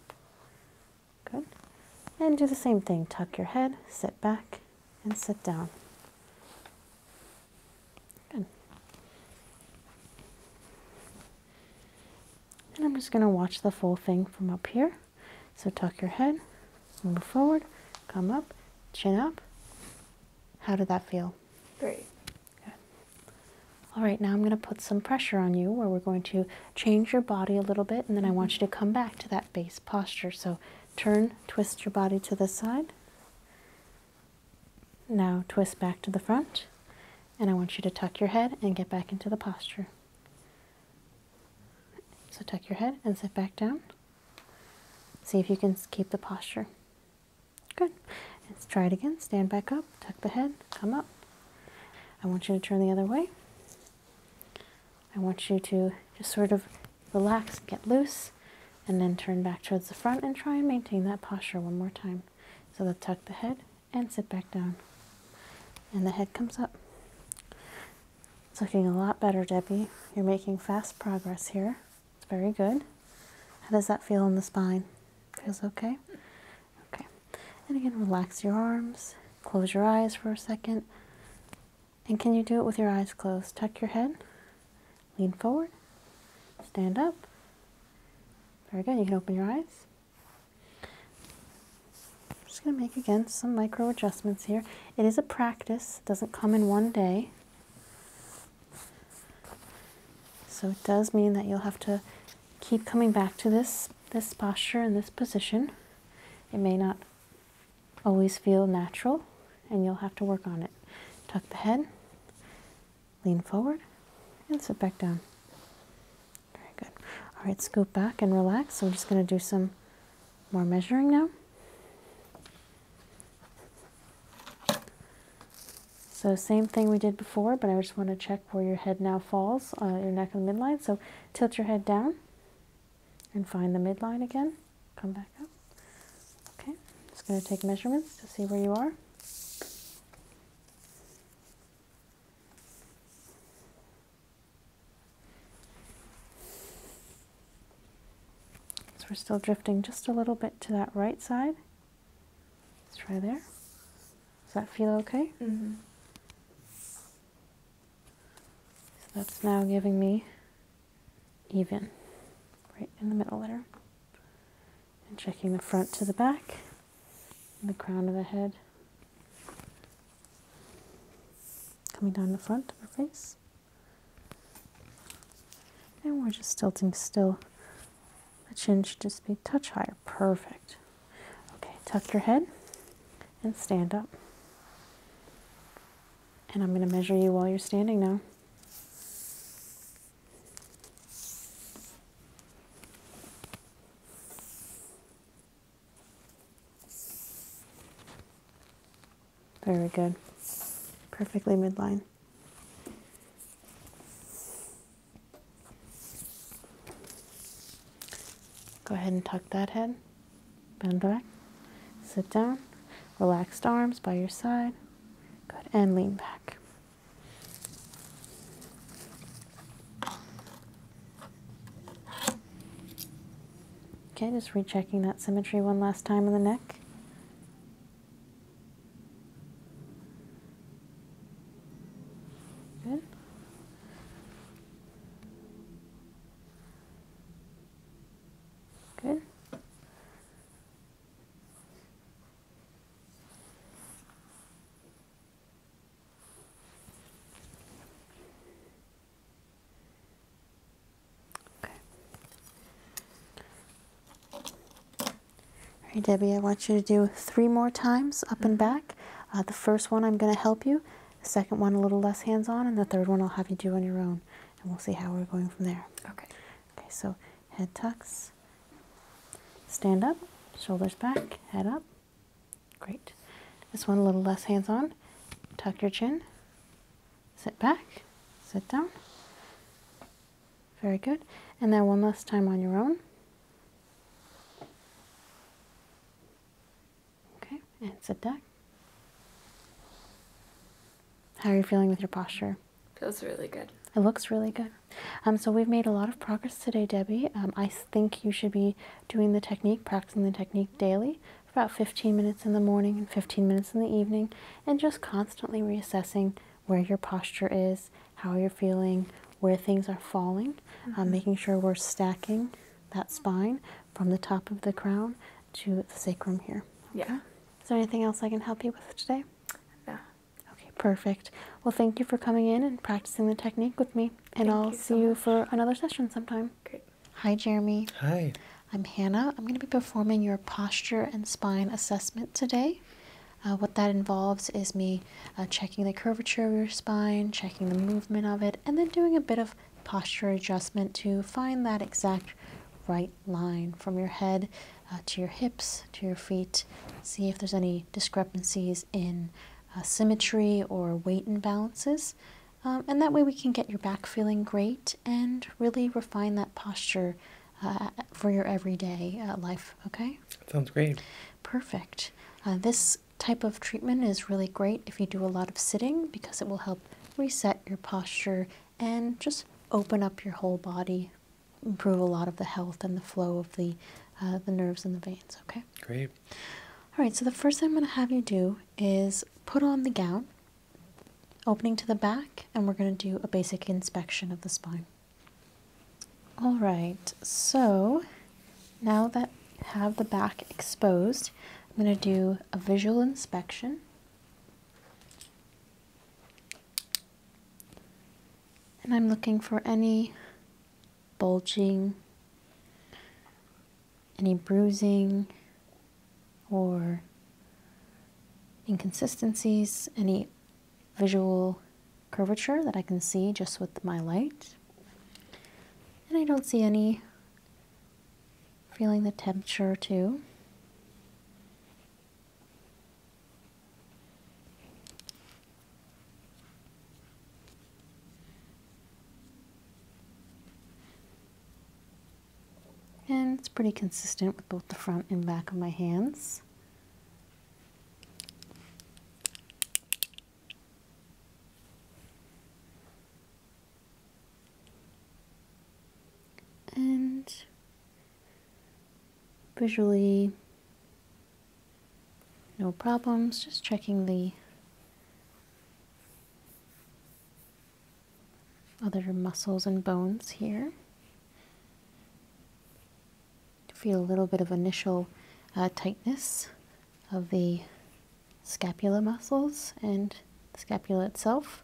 Good. And do the same thing. Tuck your head, sit back, and sit down. Good. And I'm just going to watch the full thing from up here. So tuck your head, move forward, come up, chin up. How did that feel? Great. All right, now I'm going to put some pressure on you where we're going to change your body a little bit and then I want mm-hmm. you to come back to that base posture. So turn, twist your body to the side. Now twist back to the front, and I want you to tuck your head and get back into the posture. So tuck your head and sit back down. See if you can keep the posture. Good. Let's try it again. Stand back up, tuck the head, come up. I want you to turn the other way. I want you to just sort of relax, get loose, and then turn back towards the front and try and maintain that posture one more time. So they'll tuck the head and sit back down. And the head comes up. It's looking a lot better, Debbie. You're making fast progress here. It's very good. How does that feel in the spine? Feels okay? Okay. And again, relax your arms. Close your eyes for a second. And can you do it with your eyes closed? Tuck your head, lean forward, stand up, very good. You can open your eyes. I'm just going to make again some micro adjustments here. It is a practice, it doesn't come in one day. So it does mean that you'll have to keep coming back to this this posture and this position. It may not always feel natural and you'll have to work on it. Tuck the head, Lean forward and sit back down. Very good. All right, scoop back and relax. So I'm just going to do some more measuring now. So same thing we did before, but I just want to check where your head now falls, uh, your neck and midline. So tilt your head down and find the midline again. Come back up. Okay, just going to take measurements to see where you are. So we're still drifting just a little bit to that right side. Let's try there. Does that feel okay? Mm-hmm. So that's now giving me even, right in the middle there and checking the front to the back and the crown of the head coming down the front of the face and we're just tilting still the chin should just be touch higher perfect okay tuck your head and stand up and I'm going to measure you while you're standing now very good. Perfectly midline. Go ahead and tuck that head. Bend back. Sit down. Relaxed arms by your side. Good. And lean back. Okay, just rechecking that symmetry one last time in the neck. Good. Good. All right, Debbie, I want you to do three more times up and mm-hmm. back. Uh, the first one I'm going to help you, the second one a little less hands on, and the third one I'll have you do on your own. And we'll see how we're going from there. Okay. Okay, so head tucks, Stand up, shoulders back, head up. Great. This one a little less hands on. Tuck your chin. Sit back, sit down. Very good. And now one last time on your own. Okay, and sit back. How are you feeling with your posture? Feels really good. It looks really good. Um, so we've made a lot of progress today, Debbie. Um, I think you should be doing the technique, practicing the technique daily for about 15 minutes in the morning and 15 minutes in the evening, and just constantly reassessing where your posture is, how you're feeling, where things are falling, um, mm-hmm. making sure we're stacking that spine from the top of the crown to the sacrum here. Yeah. Is there anything else I can help you with today? No. Okay, perfect. Well, thank you for coming in and practicing the technique with me. And I'll see you for another session sometime. Great. Hi, Jeremy. Hi. I'm Hannah. I'm going to be performing your posture and spine assessment today. Uh, what that involves is me uh, checking the curvature of your spine, checking the movement of it, and then doing a bit of posture adjustment to find that exact right line from your head uh, to your hips, to your feet. See if there's any discrepancies in uh, symmetry or weight imbalances. Um, and that way we can get your back feeling great and really refine that posture uh, for your everyday life, okay? Sounds great. Perfect. this type of treatment is really great if you do a lot of sitting because it will help reset your posture and just open up your whole body improve a lot of the health and the flow of the, uh, the nerves and the veins, okay? Great. All right, so the first thing I'm going to have you do is put on the gown, opening to the back, and we're going to do a basic inspection of the spine. All right, so now that I have the back exposed, I'm going to do a visual inspection. And I'm looking for any bulging, any bruising, or inconsistencies, any visual curvature that I can see just with my light. And I don't see any feeling the temperature too. And it's pretty consistent with both the front and back of my hands. And visually no problems just checking the other muscles and bones here feel a little bit of initial uh, tightness of the scapula muscles and scapula itself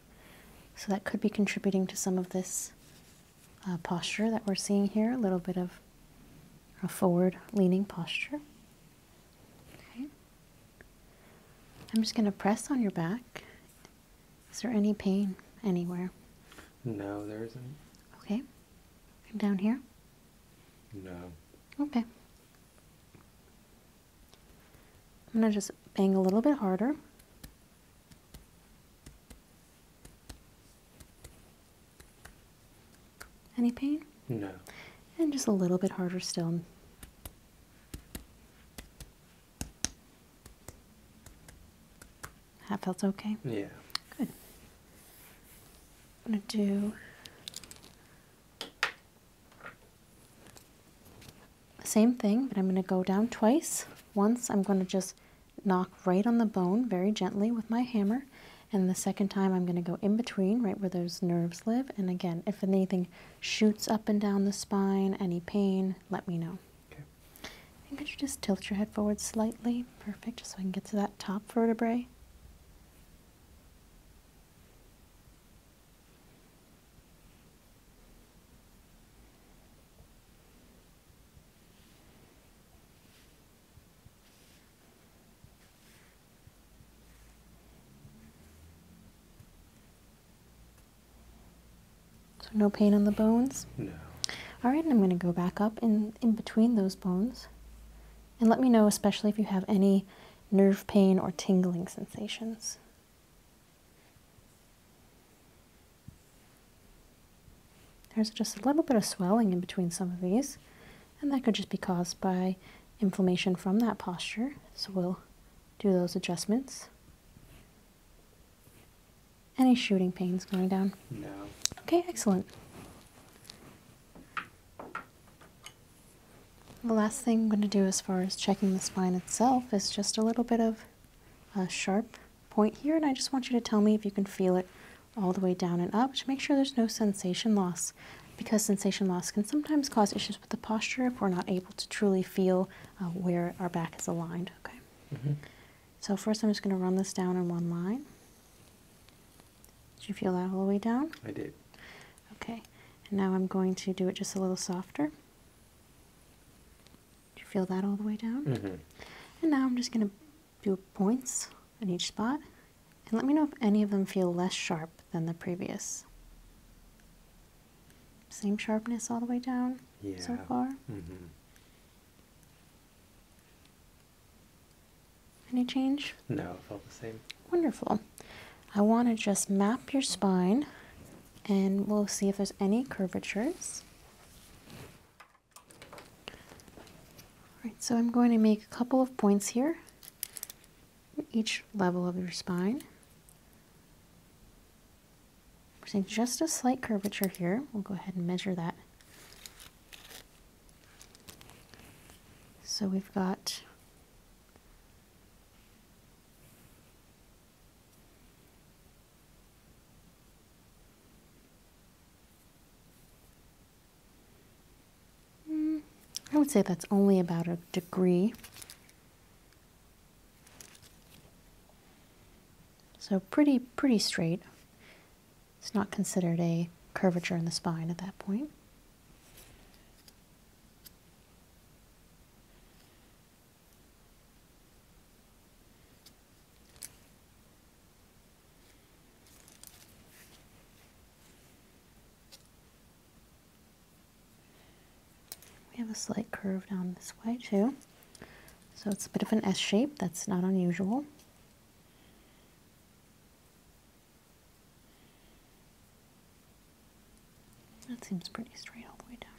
so that could be contributing to some of this uh, posture that we're seeing here, a little bit of a forward leaning posture. Okay. I'm just going to press on your back. Is there any pain anywhere? No, there isn't. Okay. And down here? No. Okay. I'm going to just bang a little bit harder. Any pain? No. And just a little bit harder still. That felt okay? Yeah. Good. I'm going to do same thing, but I'm going to go down twice. Once I'm going to just knock right on the bone very gently with my hammer. And the second time I'm going to go in between, right where those nerves live. And again, if anything shoots up and down the spine, any pain, let me know. Okay. And could you just tilt your head forward slightly? Perfect, just so I can get to that top vertebrae. So no pain on the bones? No. All right, and I'm going to go back up in, in between those bones. And let me know, especially if you have any nerve pain or tingling sensations. There's just a little bit of swelling in between some of these, and that could just be caused by inflammation from that posture. So we'll do those adjustments. Any shooting pains going down? No. Okay, excellent. The last thing I'm going to do as far as checking the spine itself is just a little bit of uh, sharp point here, and I just want you to tell me if you can feel it all the way down and up to make sure there's no sensation loss because sensation loss can sometimes cause issues with the posture if we're not able to truly feel uh, where our back is aligned, okay? Mm-hmm. So first I'm just going to run this down in one line. Did you feel that all the way down? I did. Okay. And now I'm going to do it just a little softer. Do you feel that all the way down? Mm-hmm. And now I'm just going to do points in each spot. And let me know if any of them feel less sharp than the previous. Same sharpness all the way down so far. Mm-hmm. Any change? No, it felt the same. Wonderful. I want to just map your spine and we'll see if there's any curvatures. Alright, so I'm going to make a couple of points here each level of your spine. We're seeing just a slight curvature here. We'll go ahead and measure that. So we've got Mm, I would say that's only about a degree. So pretty, pretty straight. It's not considered a curvature in the spine at that point. We have a slight curve down this way too. So it's a bit of an S shape, that's not unusual. That seems pretty straight all the way down.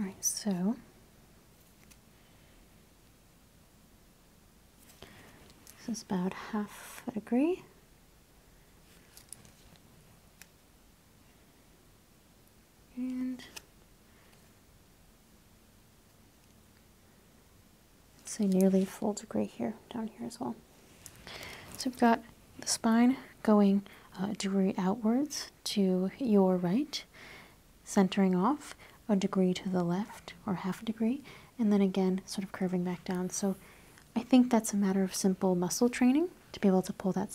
All right, so this is about half a degree. And Say nearly full degree here, down here as well. So we've got the spine going uh, degree outwards to your right, centering off a degree to the left, or half a degree, and then again sort of curving back down. So I think that's a matter of simple muscle training to be able to pull that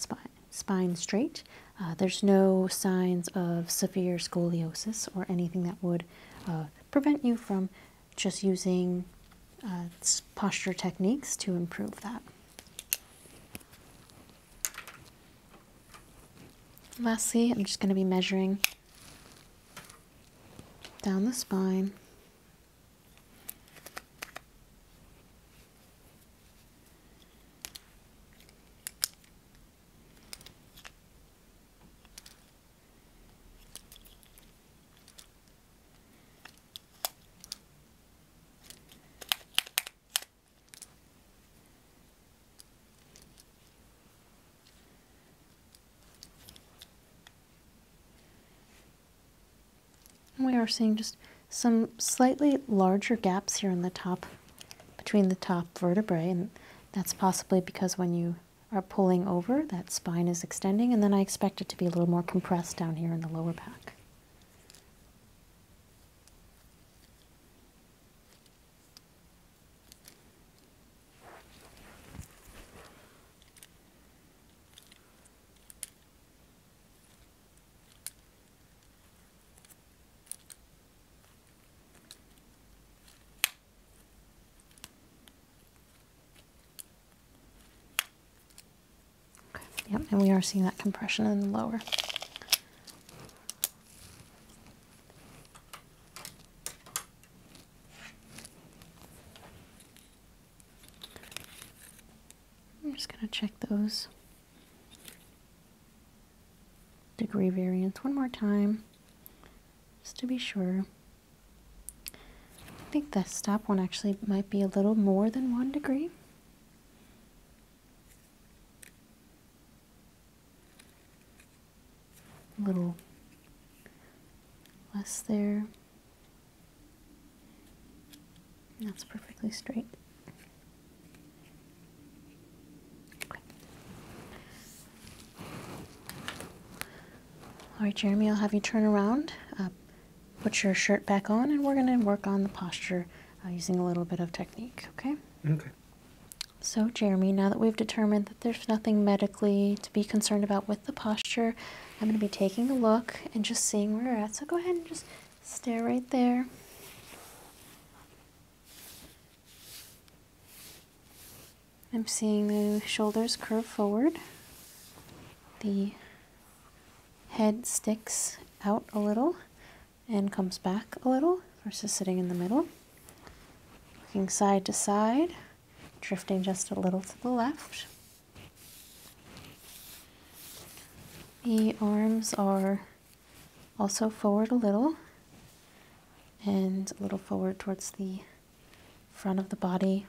spine, straight. Uh, there's no signs of severe scoliosis or anything that would uh, prevent you from just using uh, posture techniques to improve that. Lastly, I'm just going to be measuring down the spine we are seeing just some slightly larger gaps here in the top between the top vertebrae and that's possibly because when you are pulling over, that spine is extending, and then I expect it to be a little more compressed down here in the lower back. Yep, and we are seeing that compression in the lower. I'm just going to check those degree variance one more time just to be sure. I think the stop one actually might be a little more than one degree. A little less there. That's perfectly straight. All right, Jeremy, I'll have you turn around, uh, put your shirt back on, and we're going to work on the posture uh, using a little bit of technique, okay? Okay. So, Jeremy, now that we've determined that there's nothing medically to be concerned about with the posture, I'm going to be taking a look and just seeing where you're at. So go ahead and just stare right there. I'm seeing the shoulders curve forward, the head sticks out a little and comes back a little versus sitting in the middle. Looking side to side, drifting just a little to the left. The arms are also forward a little, and a little forward towards the front of the body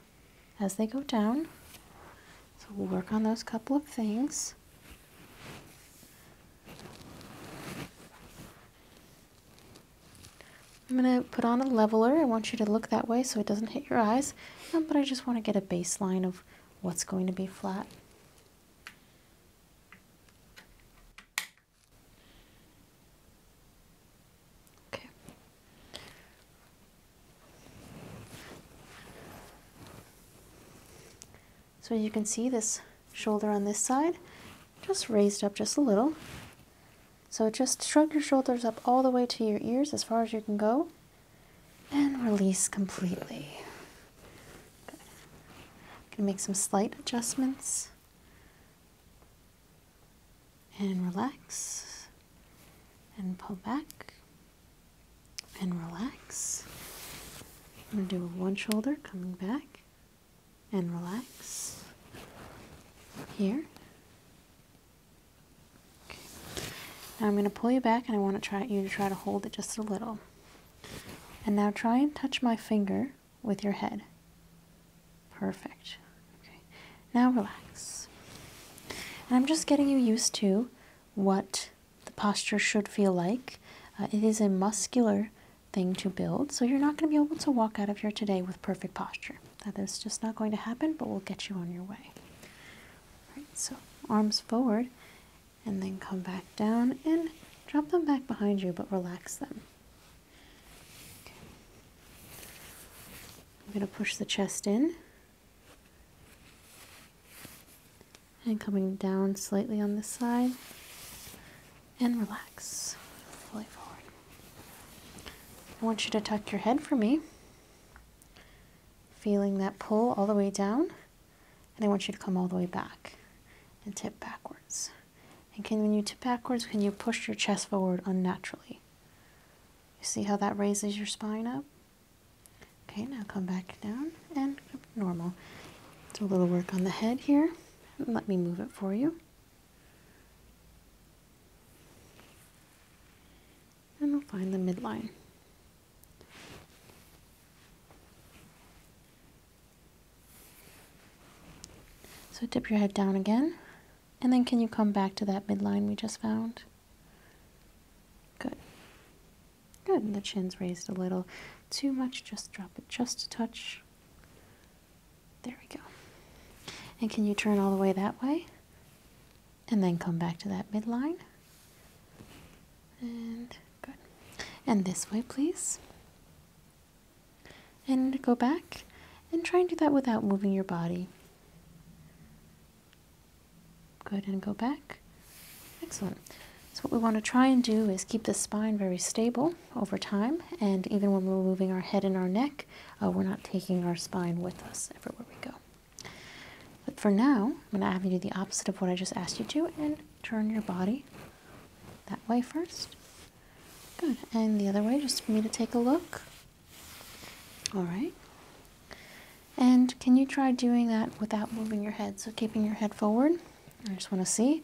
as they go down. So we'll work on those couple of things. I'm going to put on a leveler. I want you to look that way so it doesn't hit your eyes, um, but I just want to get a baseline of what's going to be flat. So you can see this shoulder on this side just raised up just a little. So just shrug your shoulders up all the way to your ears as far as you can go and release completely. Good. Gonna make some slight adjustments and relax and pull back and relax I'm gonna do one shoulder coming back and relax here now I'm going to pull you back and I want to try you to try to hold it just a little and now try and touch my finger with your head. Perfect. Okay. Now relax. And I'm just getting you used to what the posture should feel like. Uh, it is a muscular thing to build, so you're not going to be able to walk out of here today with perfect posture. That is just not going to happen, but we'll get you on your way. All right, so arms forward and then come back down and drop them back behind you, but relax them. I'm going to push the chest in. And coming down slightly on this side. And relax. Fully forward. I want you to tuck your head for me. Feeling that pull all the way down. And I want you to come all the way back and tip backwards. And can, when you tip backwards, can you push your chest forward unnaturally? You see how that raises your spine up? Okay, now come back down and normal. Do a little work on the head here. Let me move it for you. And we'll find the midline. So dip your head down again. And then can you come back to that midline we just found? Good. Good, the chin's raised a little. Too much, just drop it just a touch. There we go. And can you turn all the way that way? And then come back to that midline. And good. And this way, please. And go back and try and do that without moving your body. Good, and go back. Excellent. So what we want to try and do is keep the spine very stable over time, and even when we're moving our head and our neck, uh, we're not taking our spine with us everywhere we go. But for now, I'm going to have you do the opposite of what I just asked you to, and turn your body that way first. Good, and the other way, just for me to take a look. All right. And can you try doing that without moving your head? So keeping your head forward. I just want to see.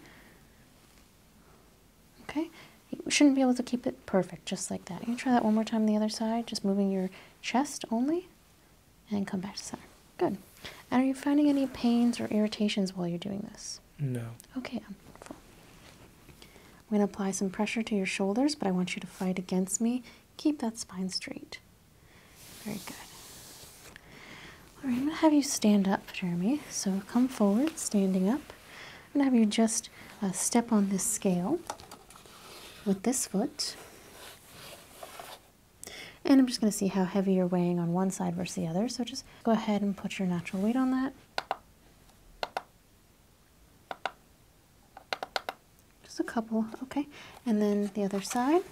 Okay. You shouldn't be able to keep it perfect, just like that. You try that one more time on the other side, just moving your chest only. And come back to center. Good. And are you finding any pains or irritations while you're doing this? No. Okay, I'm full. I'm going to apply some pressure to your shoulders, but I want you to fight against me. Keep that spine straight. Very good. All right, I'm going to have you stand up, Jeremy. So come forward, standing up. I'm going to have you just uh, step on this scale with this foot. And I'm just going to see how heavy you're weighing on one side versus the other. So just go ahead and put your natural weight on that. Just a couple, okay. And then the other side.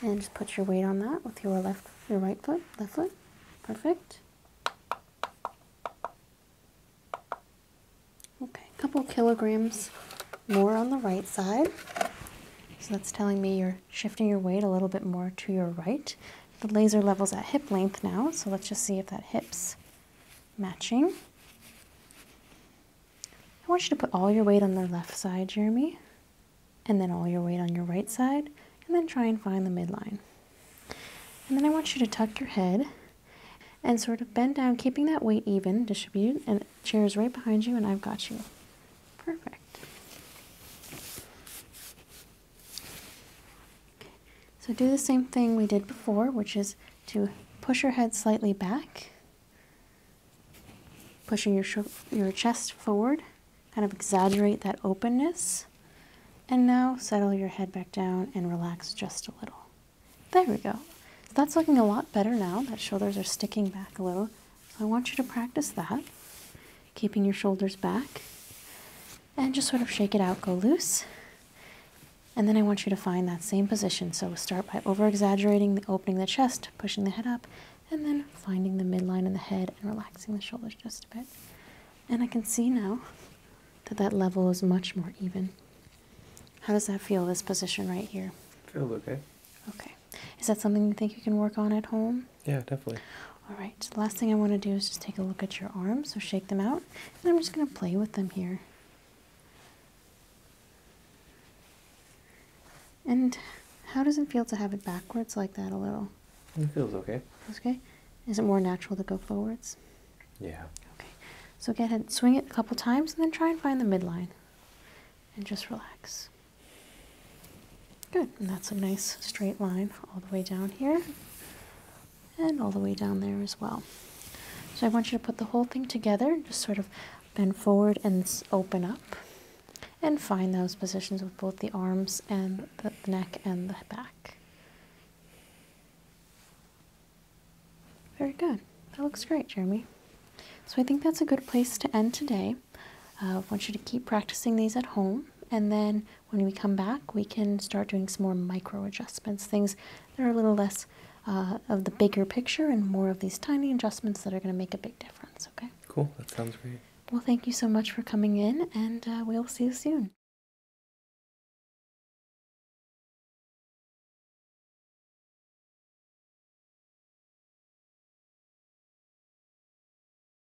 And just put your weight on that with your left, your right foot, left foot. Perfect. Okay, a couple kilograms more on the right side. So that's telling me you're shifting your weight a little bit more to your right. The laser level's at hip length now, so let's just see if that hip's matching. I want you to put all your weight on the left side, Jeremy, and then all your weight on your right side, and then try and find the midline. And then I want you to tuck your head and sort of bend down, keeping that weight even, distributed, and chair is right behind you, and I've got you. Perfect. So do the same thing we did before, which is to push your head slightly back, pushing your, your chest forward, kind of exaggerate that openness. And now settle your head back down and relax just a little. There we go. So that's looking a lot better now. That shoulders are sticking back a little. So I want you to practice that keeping your shoulders back. And just sort of shake it out, go loose. And then I want you to find that same position. So start by over exaggerating, the opening the chest, pushing the head up, and then finding the midline in the head and relaxing the shoulders just a bit. And I can see now that that level is much more even. How does that feel, this position right here? Feels okay. Okay. Is that something you think you can work on at home? Yeah, definitely. All right, last thing I want to do is just take a look at your arms, so shake them out, and I'm just going to play with them here. And how does it feel to have it backwards like that a little? It feels okay. Okay. Is it more natural to go forwards? Yeah. Okay. So go ahead, swing it a couple times, and then try and find the midline. And just relax. Good, and that's a nice straight line all the way down here and all the way down there as well. So I want you to put the whole thing together, just sort of bend forward and open up and find those positions with both the arms and the neck and the back. Very good. That looks great, Jeremy. So I think that's a good place to end today. Uh, I want you to keep practicing these at home, and then when we come back, we can start doing some more micro adjustments, things that are a little less uh, of the bigger picture and more of these tiny adjustments that are going to make a big difference. Okay. Cool. That sounds great. Well, thank you so much for coming in, and uh, we'll see you soon.